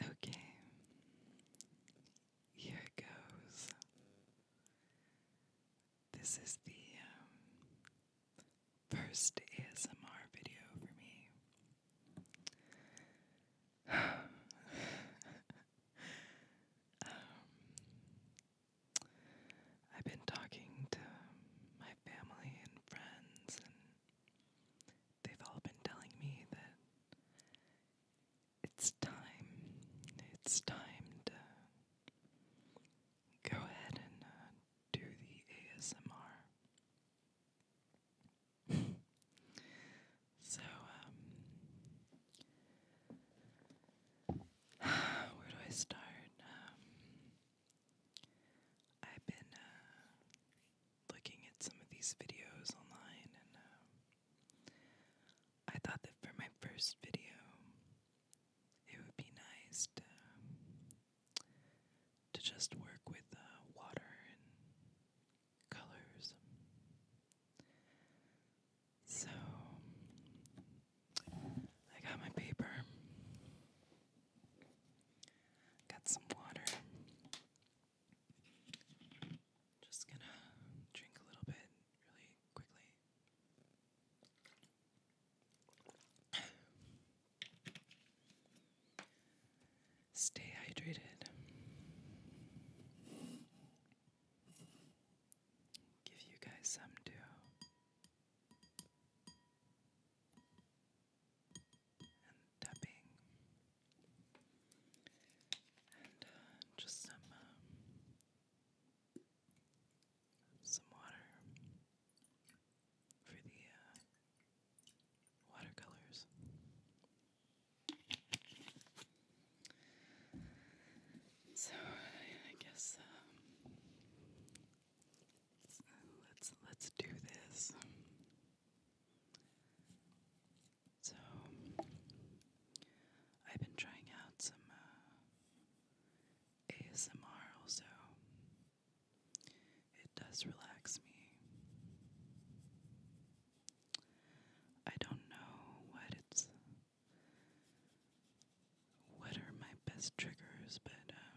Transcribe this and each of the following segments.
Okay, here it goes. This is the um, first ASMR video for me. Um, I've been talking to my family and friends and They've all been telling me that it's time, it's time to go ahead and uh, do the ASMR. so, um, where do I start? Um, I've been uh, looking at some of these videos online, and uh, I thought that for my first video, it would be nice to, just work with uh, water and colors. So, I got my paper. Got some water. Just gonna drink a little bit really quickly. Stay hydrated. Give you guys some too and tapping, and uh, just some uh, some water for the uh, watercolors. So I guess um, let's let's do this. So I've been trying out some uh, ASMR also. It does relax me. I don't know what it's what are my best triggers, but um,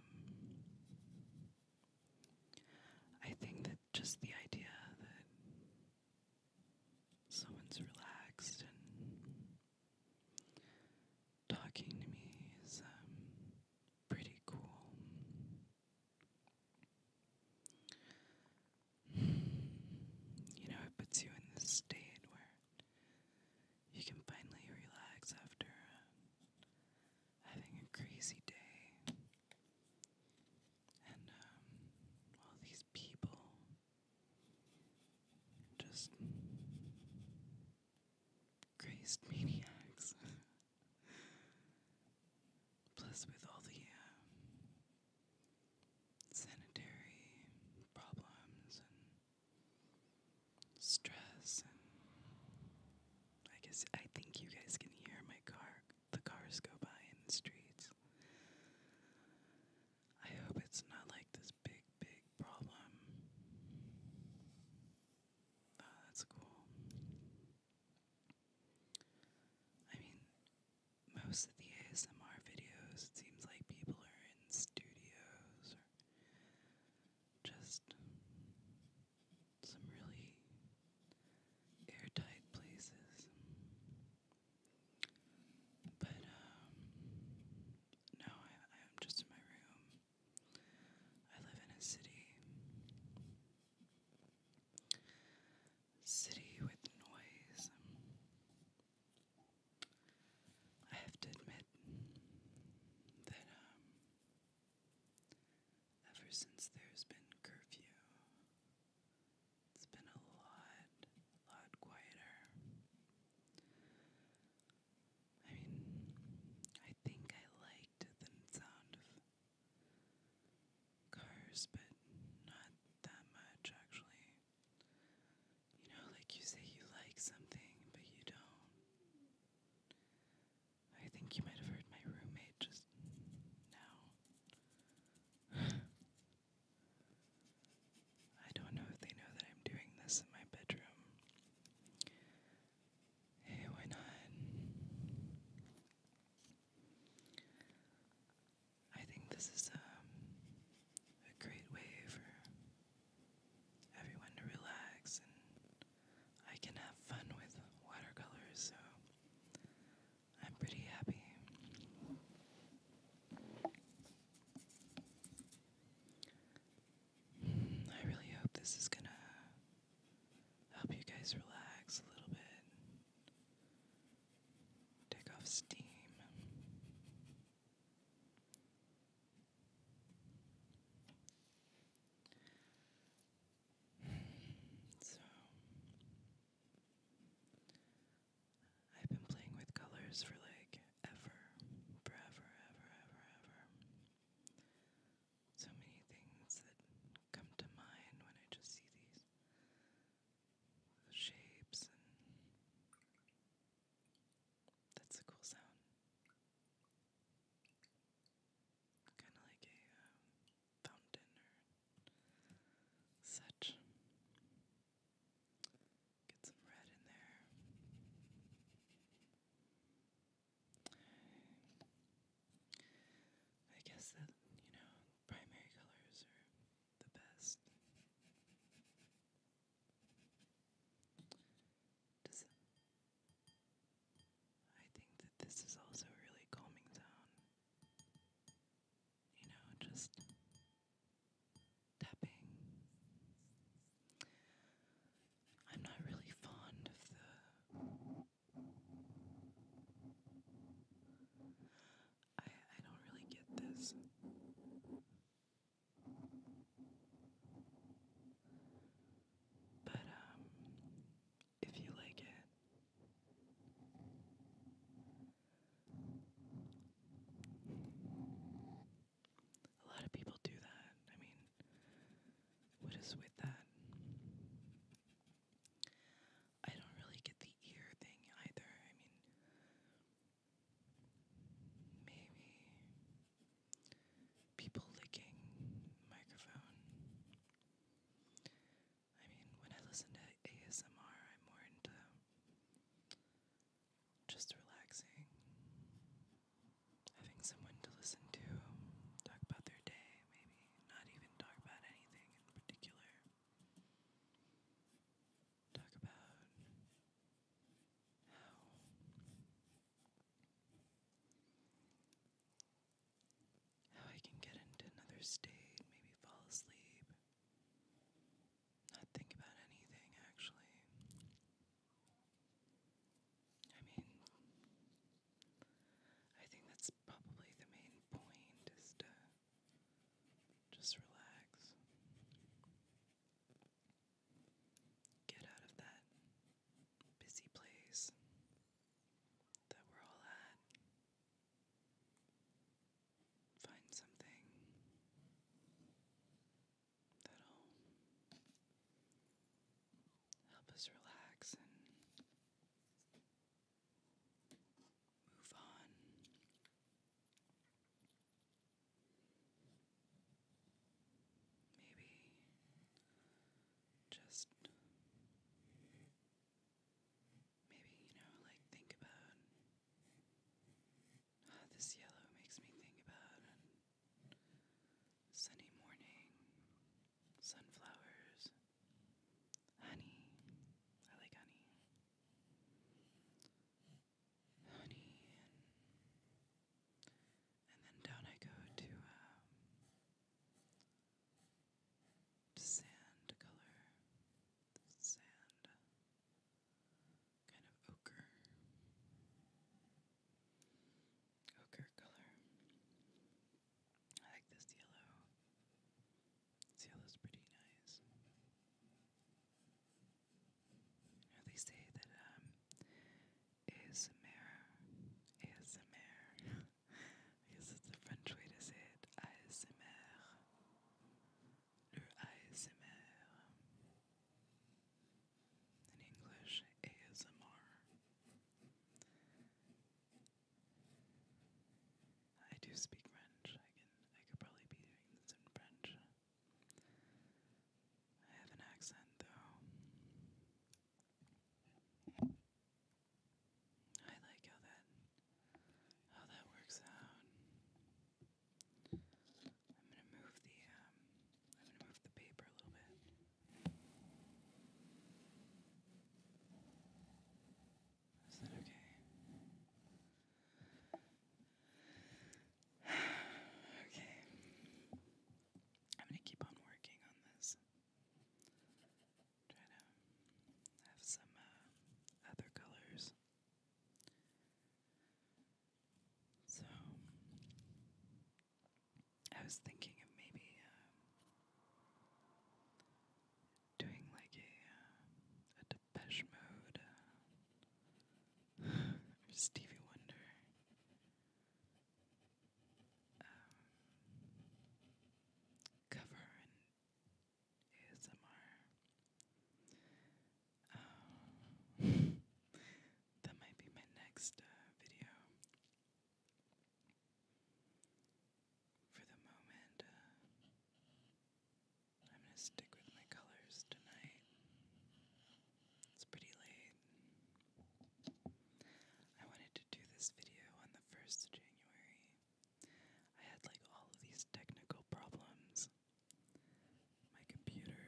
I think that just the idea that someone's relaxed and talking to me is um, pretty cool. You know, it puts you in this state where you can finally relax after um, having a crazy day. And um, all these people just crazed maniacs. Plus, with all the um, sanitary problems and stress and I guess I think you guys can hear my car, the cars go by in the streets. I hope it's not like this big, big problem. Oh, that's cool. I mean, most of the ASMR videos, it seems like people are in studios or just some really airtight places. But um, no, I am just in my room. I live in a city. City with noise. I have to admit that um, Ever since there's been curfew, it's been a lot, lot quieter. I mean, I think I liked the sound of cars, but not that much actually. You know, like you say you like something, but you don't. I think you might have heard my roommate just now. I don't know if they know that I'm doing this in my bedroom. Hey, why not? I think this is um, a great way for everyone to relax and I can have fun with watercolors, so I'm pretty happy. Hmm, I really hope this is gonna help you guys relax a little bit. Take off steam. So, I've been playing with colors for like ever, forever, ever, ever, ever. So many things that come to mind when I just see these shapes, that's a cool sound kind of like a um, fountain or such. Get some red in there. I guess that, you know, primary colors are the best. Does I think that this is also really calming sound. You know, just tapping. I'm not really fond of the. I, I don't really get this. But, um, if you like it. A lot of people do that. I mean, what is with that? I don't really get the ear thing either. I mean, maybe people licking microphone. I mean, when I listen to ASMR, I'm more into just relaxing, having someone to listen to, talk about their day, maybe not even talk about anything in particular. Talk about how how I can get into another state, maybe fall asleep, not think about anything actually. I mean, I think that's probably the main point is to just relax. Get out of that busy place that we're all at. Find something that'll help us relax and move on. Maybe just maybe, you know, like think about ah, this yellow makes me think about sunny morning, sunflowers, honey. I like honey. Honey and then down I go to um, sand color, sand, kind of ochre, ochre color. I like this yellow. This yellow's pretty nice. they say that um, ASMR. ASMR. I it's the French way to say it. ASMR. Le ASMR. In English, ASMR. I do speak French. I can I could probably be doing this in French. I have an accent though. I like how that how that works out. I'm gonna move the um, I'm gonna move the paper a little bit. Is that okay? okay. I'm gonna keep on working on this. Try to have some uh, other colors. So, I was thinking of maybe um, doing like a uh, a Depeche Mode uh, Stevie Wonder um, ASMR. Um, that might be my next uh, video. For the moment, uh, I'm going to stick with my colors tonight. It's pretty late. I wanted to do this video on the 1st of January. I had like all of these technical problems. My computer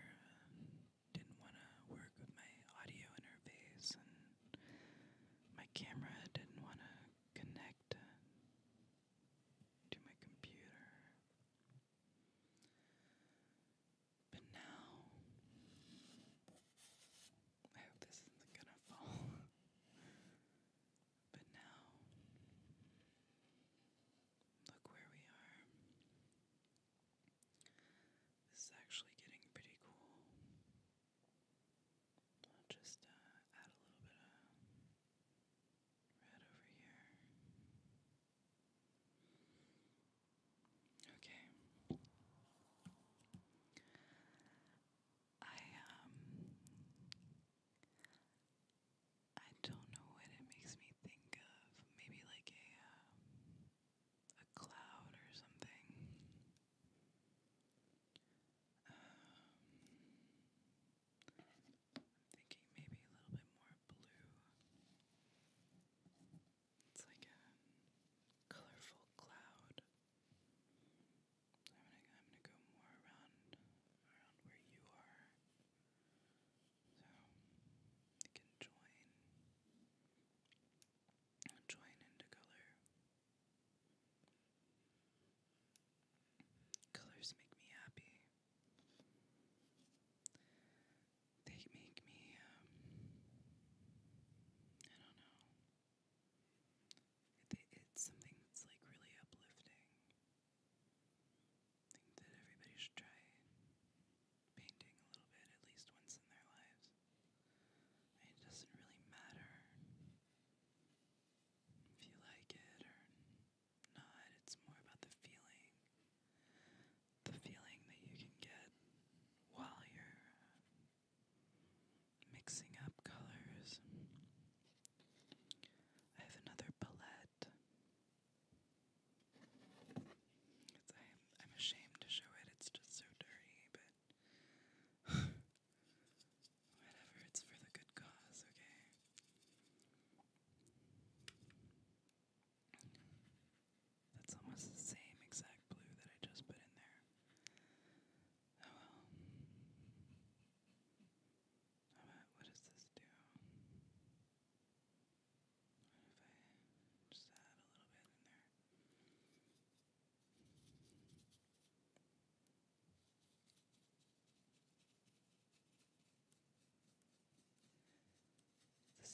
um, didn't want to work with my audio interface, and my camera didn't want to connect uh, to my computer. But now, I hope this isn't gonna fall. but now, look where we are. This is actually getting pretty cool. I'll just uh, add a little bit of red over here. Okay. I um I don't know what it makes me think of. Maybe like a uh, a cloud or something. Um, thinking maybe a little bit more blue. It's like a colorful cloud. I'm gonna I'm gonna go more around around where you are. So you can join join into color. Colors make me happy. They make me, um, I don't know, it, it's something that's like really uplifting. that everybody should try painting a little bit at least once in their lives. It doesn't really matter if you like it or not, it's more about the feeling. The feeling that you can get while you're mixing up colors. I have another palette. I'm ashamed to show it, it's just so dirty, but whatever, it's for the good cause, okay? That's almost the same exact blue that I just put in there. Oh well. How about what does this do? What if I just add a little bit in there? This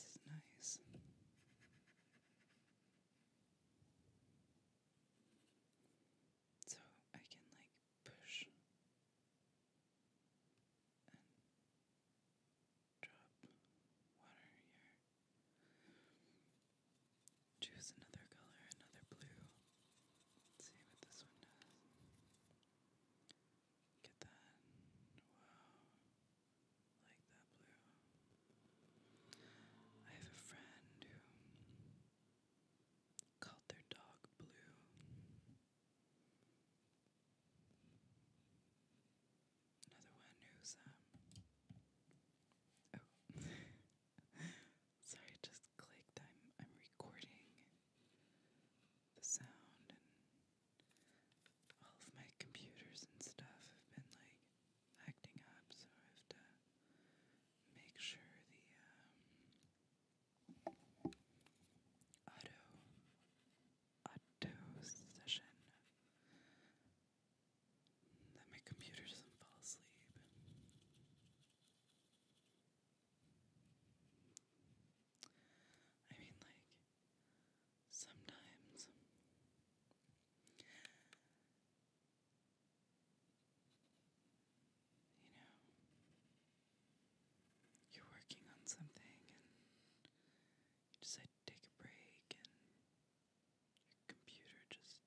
is nice. So I can like push and drop water here. Choose another color, another blue. see what this one does. Get that. Wow like that blue. I have a friend who called their dog Blue. Another one who's um oh sorry, I just clicked. I'm I'm recording the sound and all of my computers and stuff have been like acting up, so I have to make sure the um, auto auto session that my computer doesn't fall asleep. I mean, like, sometimes you know, you're working on something and you decide to take a break and your computer just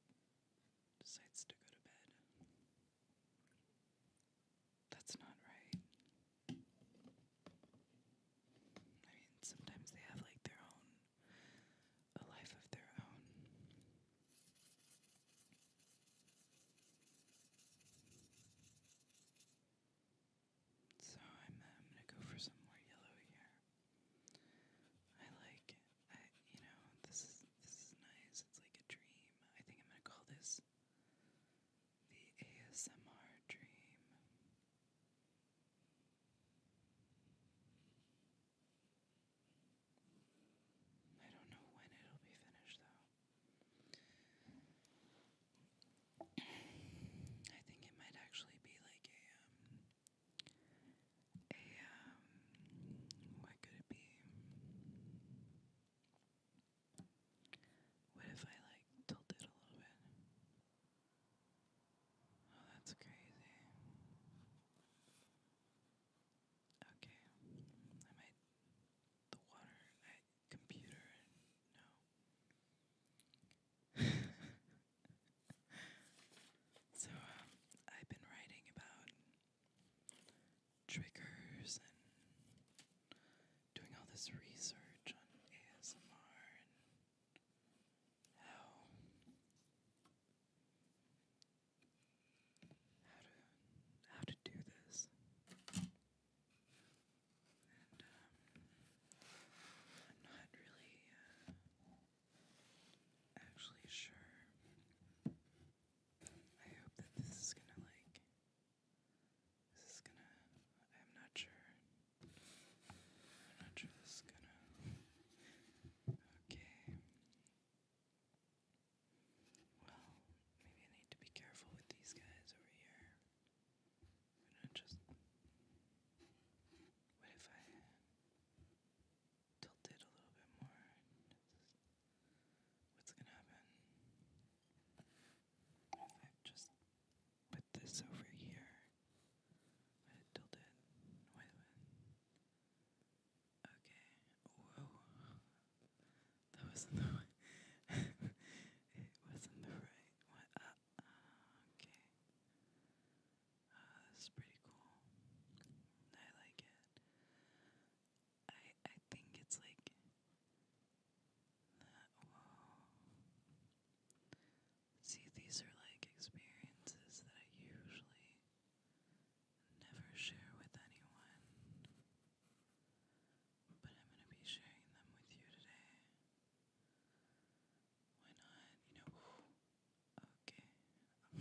decides to go to bed. That's not right. I mean, sometimes they have like their own a life of their own. So I'm, uh, going to go for some more yellow here. I like I you know, this is this is nice. It's like a dream. I think I'm going to call this the ASMR dream. I don't know when it'll be finished, though. I think it might actually be like a, um, a, um, what could it be? What if I like tilt it a little bit? Oh, that's crazy. Okay, I might. The water, I, computer, no. so, um, I've been writing about triggers and doing all this research on ASMR how how to how to do this, and um, I'm not really uh, actually sure. I hope that this is gonna like. This is gonna. I'm not sure. I'm not sure this is gonna Okay. Well, maybe I need to be careful with these guys over here. What if I tilt it a little bit more? What's gonna happen? What if I just put this over here? Why did it Okay. Whoa. That wasn't the way. it wasn't the right one. Uh, okay. Uh, this pretty cool. I like it. I I think it's like uh, Whoa. See, these are like experiences that I usually never share with anyone, but I'm going to be sharing them with you today. Why not? You know, okay.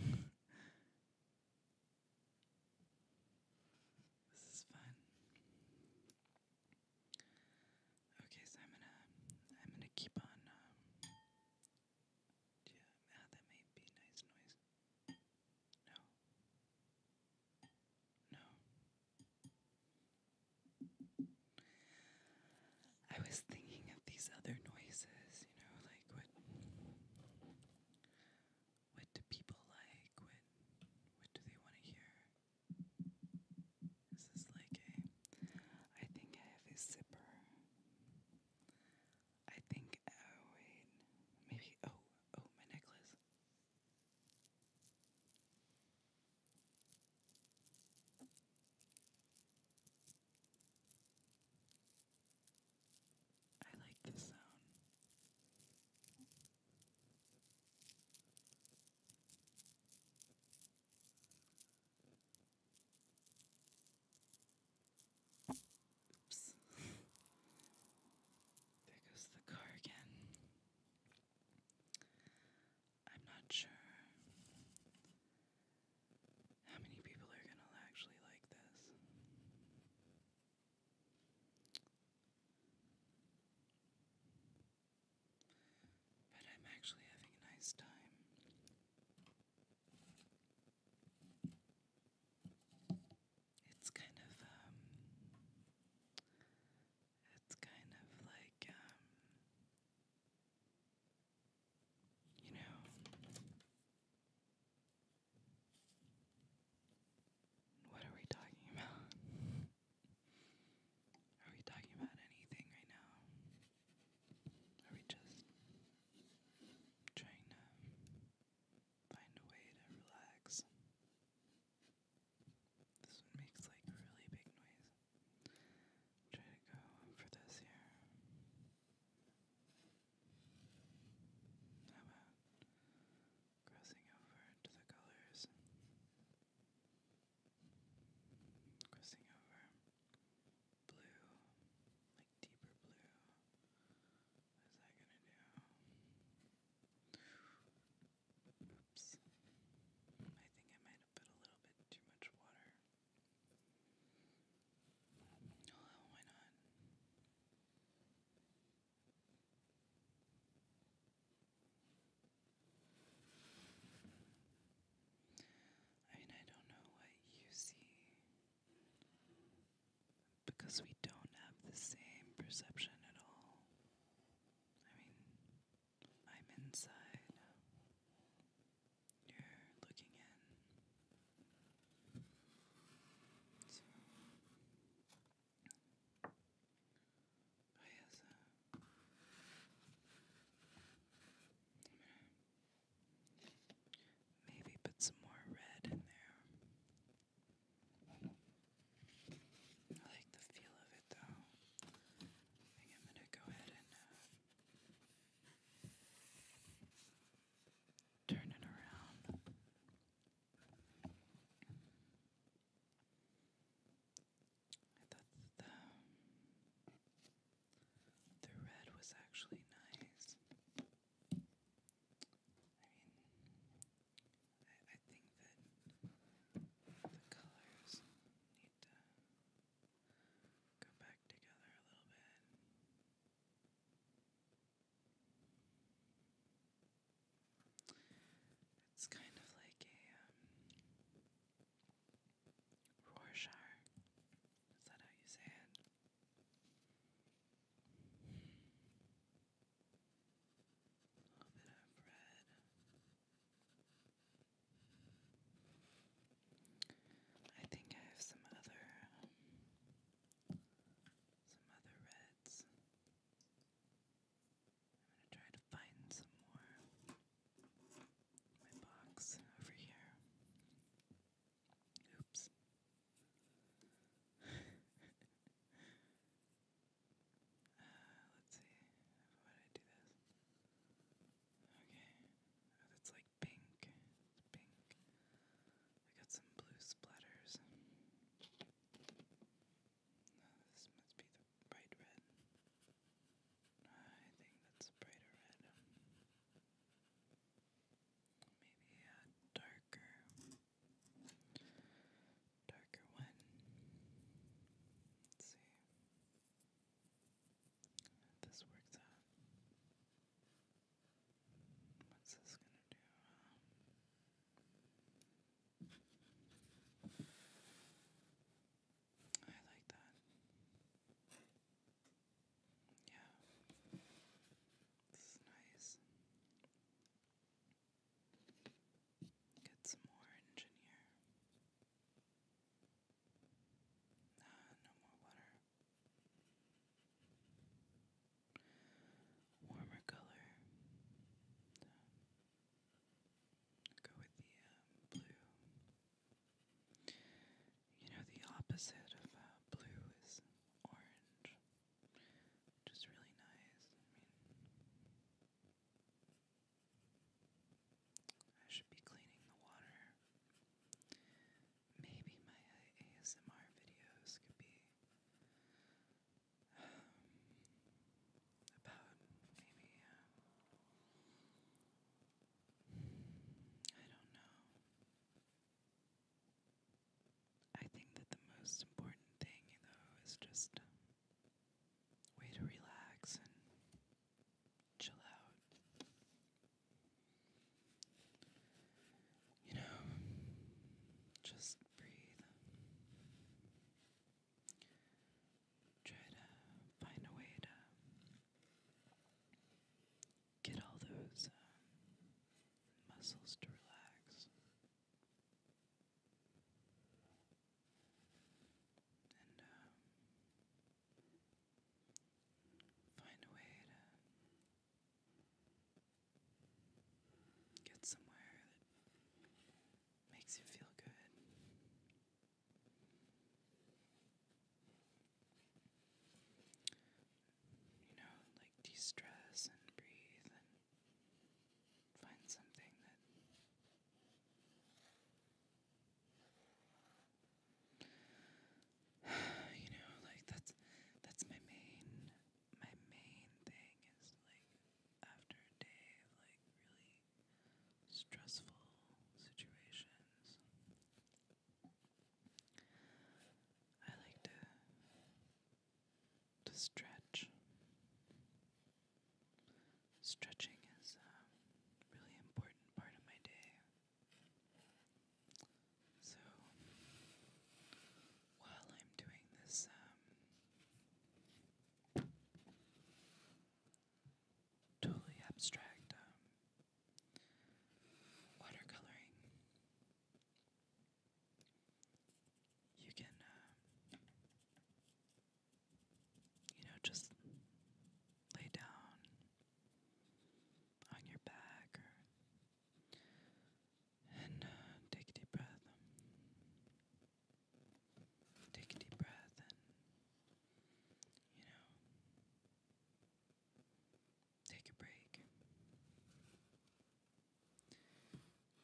this is fun. Okay, so I'm gonna I'm gonna keep on um, yeah, ah, that may be nice noise. No. No. I was thinking of these other noises, you know, like what what do people like? What what do they want to hear? Is this like a I think I have a zipper. I think, oh wait, maybe, oh, oh, my necklace. I like this sound. Oops. there the car again. I'm not sure how many people are gonna actually like this. But I'm actually having a nice time. It's kind of um it's kind of like um you know what are we talking about? Are we talking about anything right now? Are we just trying to find a way to relax? This one makes like really big noise. Try to go for this here. How about crossing over to the colors? Crossing over blue, like deeper blue. What is that gonna do? Oops. I think I might have put a little bit too much water. Oh, why not? I mean, I don't know what you see because we don't have the same perception at all. I mean, I'm inside. You're looking in. So, oh Maybe put some more red in there. I like the feel of it though. I think I'm gonna go ahead and uh, turn it around. I the the red was actually nice. I mean, I, think that the colors need to go back together a little bit. It's kind of like a um, Rorschach. Is that how you say it? A little bit of red. I think I have some other, some other reds. I'm gonna try to find some more my box over here. Oops. Uh, let's see. Why did I do this? Okay. Oh, that's like pink. pink. I got some blue splatters. No, this must be the bright red. I think that's brighter red. Maybe a darker, darker one. Let's see this works out. What's this gonna do? I like that. Yeah. This is nice. Get some more engine Ah, no more water. Warmer color. go with the um, blue. You know, the opposite of uh, blue is orange, which really nice. I should be cleaning the water. Maybe my ASMR videos could be um, about maybe. Um, I don't know. I think that the most important thing, though, is just way to relax and chill out. You know, just breathe. Try to find a way to get all those uh, muscles to relax and um, find a way to get somewhere that makes you feel good you know, like de stress and breathe and find something that you know, like that's that's my main my main thing is like after a day of like really stressful situations I like to to stretch. Stretching is a really important part of my day. So while I'm doing this um, totally abstract um, watercoloring. You can, uh, you know, just lay down on your back or, and uh, take a deep breath. Take a deep breath and, you know, Take a break.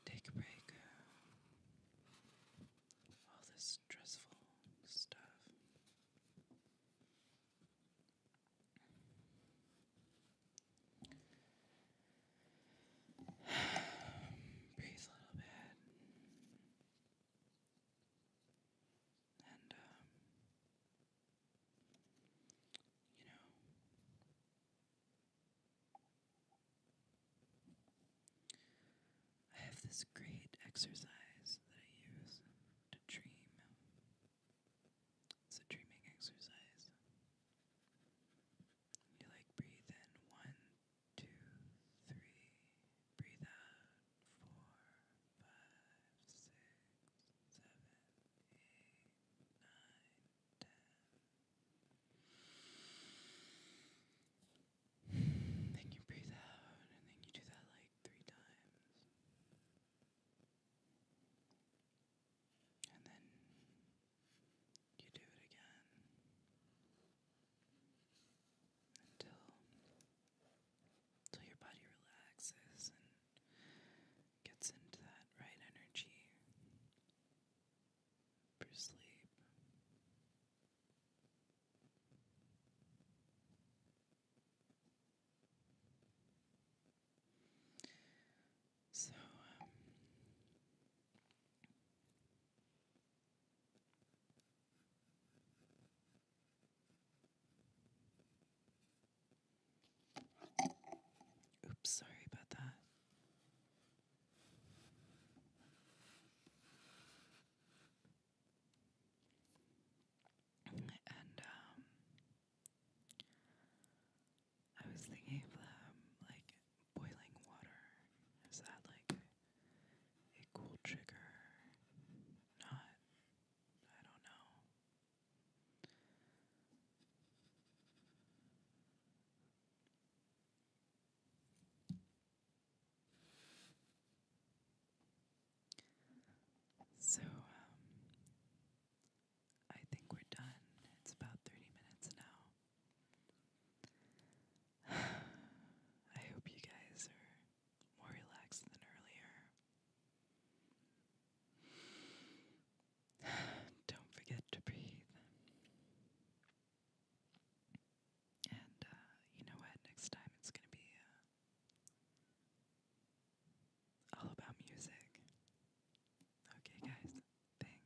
Take a break. Uh, all this stressful stuff. Breathe a little bit. And, um, you know, I have this great exercise that I use to dream. It's a dreaming exercise. You like breathe in one, two, three, Breathe out. Four, five, six, seven, eight, nine, ten. Then you breathe out, and then you do that like three times. And then you do it again until so your body relaxes and gets into that right energy for sleep. So, um, Oops, sorry about that. And um I was thinking of um, like boiling water. Is that like a cool trigger? Not I don't know. So, um, I think we're done. It's about 30 minutes now. I hope you guys are more relaxed than earlier. Don't forget to breathe. And uh, you know what? Next time it's going to be uh, all about music. Okay, guys. Thanks.